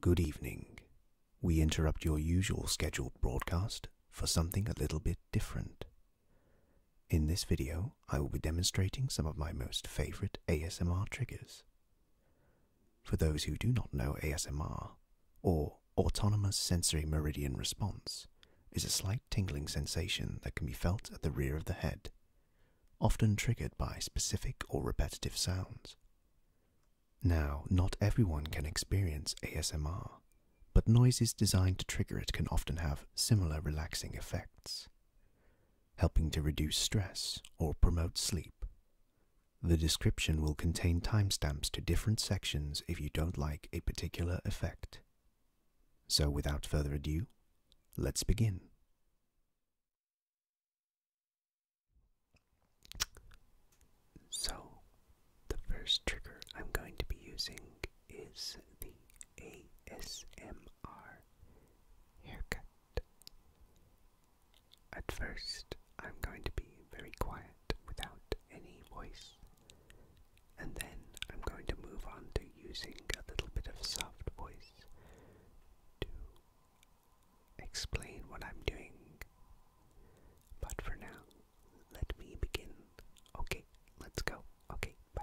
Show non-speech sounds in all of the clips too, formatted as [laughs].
Good evening. We interrupt your usual scheduled broadcast for something a little bit different. In this video, I will be demonstrating some of my most favorite ASMR triggers. For those who do not know ASMR, or Autonomous Sensory Meridian Response, is a slight tingling sensation that can be felt at the rear of the head, often triggered by specific or repetitive sounds. Now, not everyone can experience ASMR, but noises designed to trigger it can often have similar relaxing effects, helping to reduce stress or promote sleep. The description will contain timestamps to different sections if you don't like a particular effect. So, without further ado, let's begin. So, the first trigger I'm going to be using is the ASMR haircut. At first, I'm going to be very quiet without any voice and then I'm going to move on to using a little bit of soft voice to explain what I'm doing. But for now, let me begin. Okay, let's go. Okay, bye.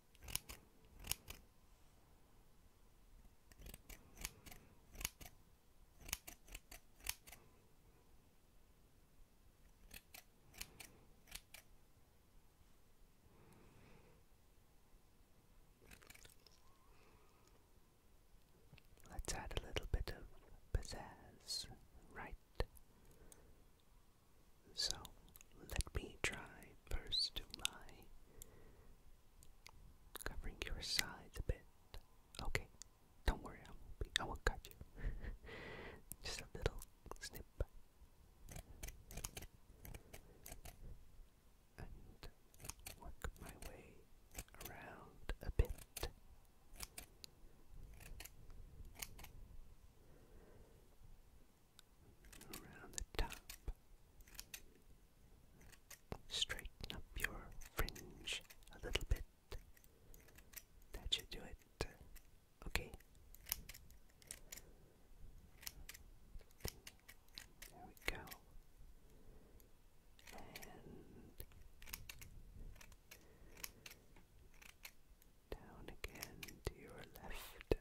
Let's add a little bit of pizzazz, right? So let me try first to my Covering your sides a bit. Okay, don't worry, I won't cut you. [laughs] Just a little snip. And work my way around a bit around the top. Straighten up your fringe a little bit. That should do it. Okay. There we go. And down again to your left.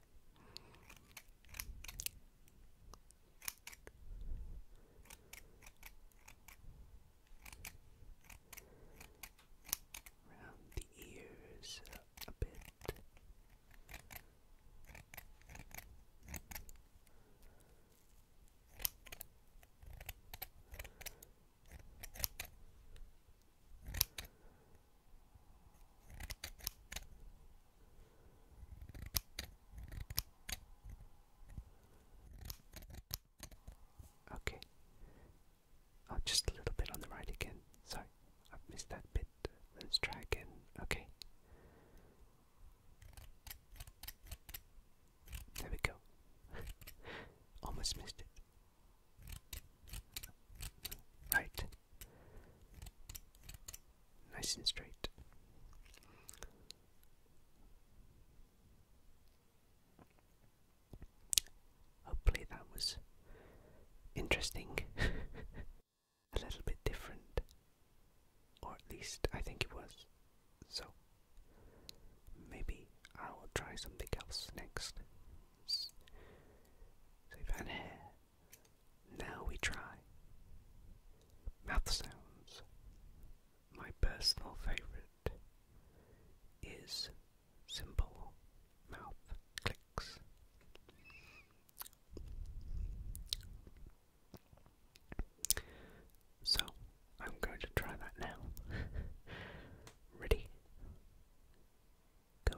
Round the ears a bit. Right Okay. Oh, just a little bit on the right again. Sorry, i missed that bit. Let's try again. Okay. There we go. [laughs] Almost missed it. Right. Nice and straight. Hopefully that was interesting. [laughs] A little bit different. Or at least I think it was. So maybe I will try something else next. So, if hair now we try mouth sounds. My personal favorite is simple mouth clicks. So, I'm going to try that now. [laughs] Ready? go. Good.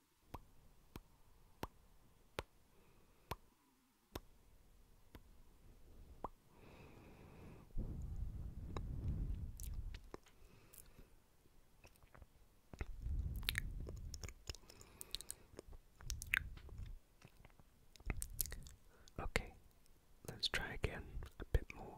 Okay, let's try again a bit more.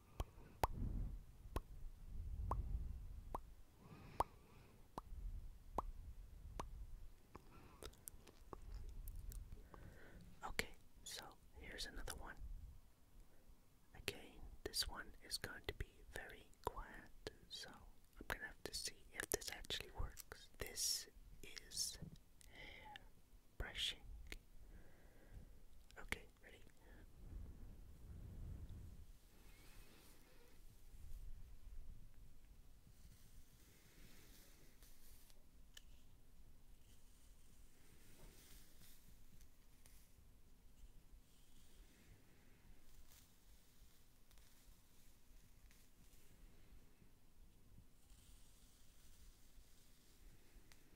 Okay, so here's another one. Again, this one is going to be very quiet, so I'm gonna have to see if this actually works. This is hair brushing. Okay, ready? Okay.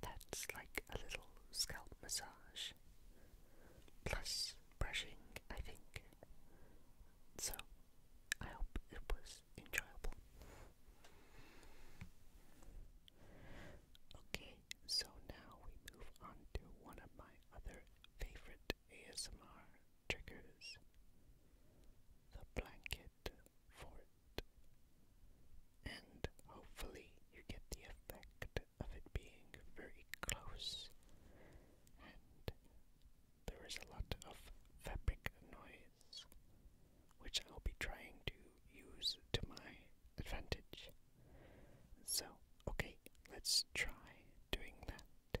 That's like a little scalp massage plus brushing, I think. So, I hope it was enjoyable. Okay, so now we move on to one of my other favorite ASMR triggers the blanket fort. And hopefully, you get the effect of it being very close, and there is a lot of fabric noise, which I'll be trying to use to my advantage. So, okay, let's try doing that.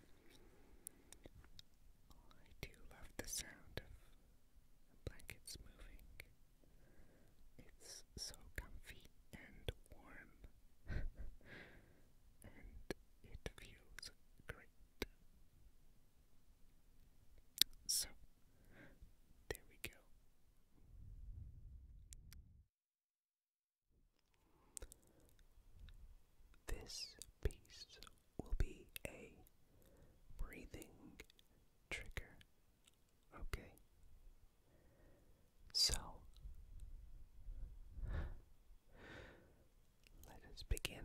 I do love the sound of blankets moving. It's so comfy and warm, [laughs] and it feels great. So, there we go. This piece will be a breathing trigger. Okay. So, let us begin.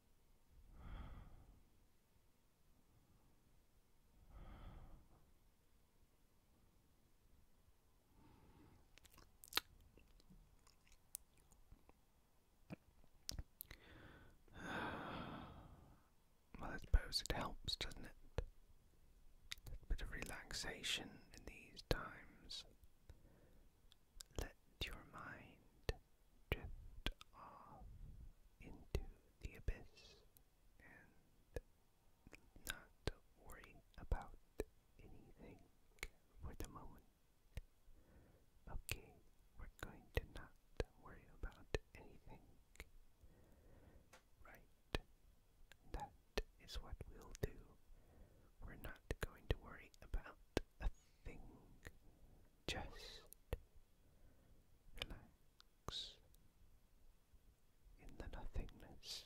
Well, I suppose it helps, doesn't it? A bit of relaxation in these times. Let your mind drift off into the abyss and not worry about anything for the moment. Okay, we're going to not worry about anything. Right. That is what we'll do. We're not going to worry about a nothing, just relax in the nothingness,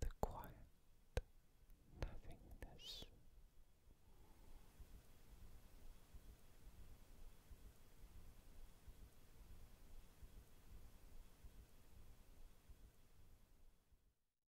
the quiet nothingness.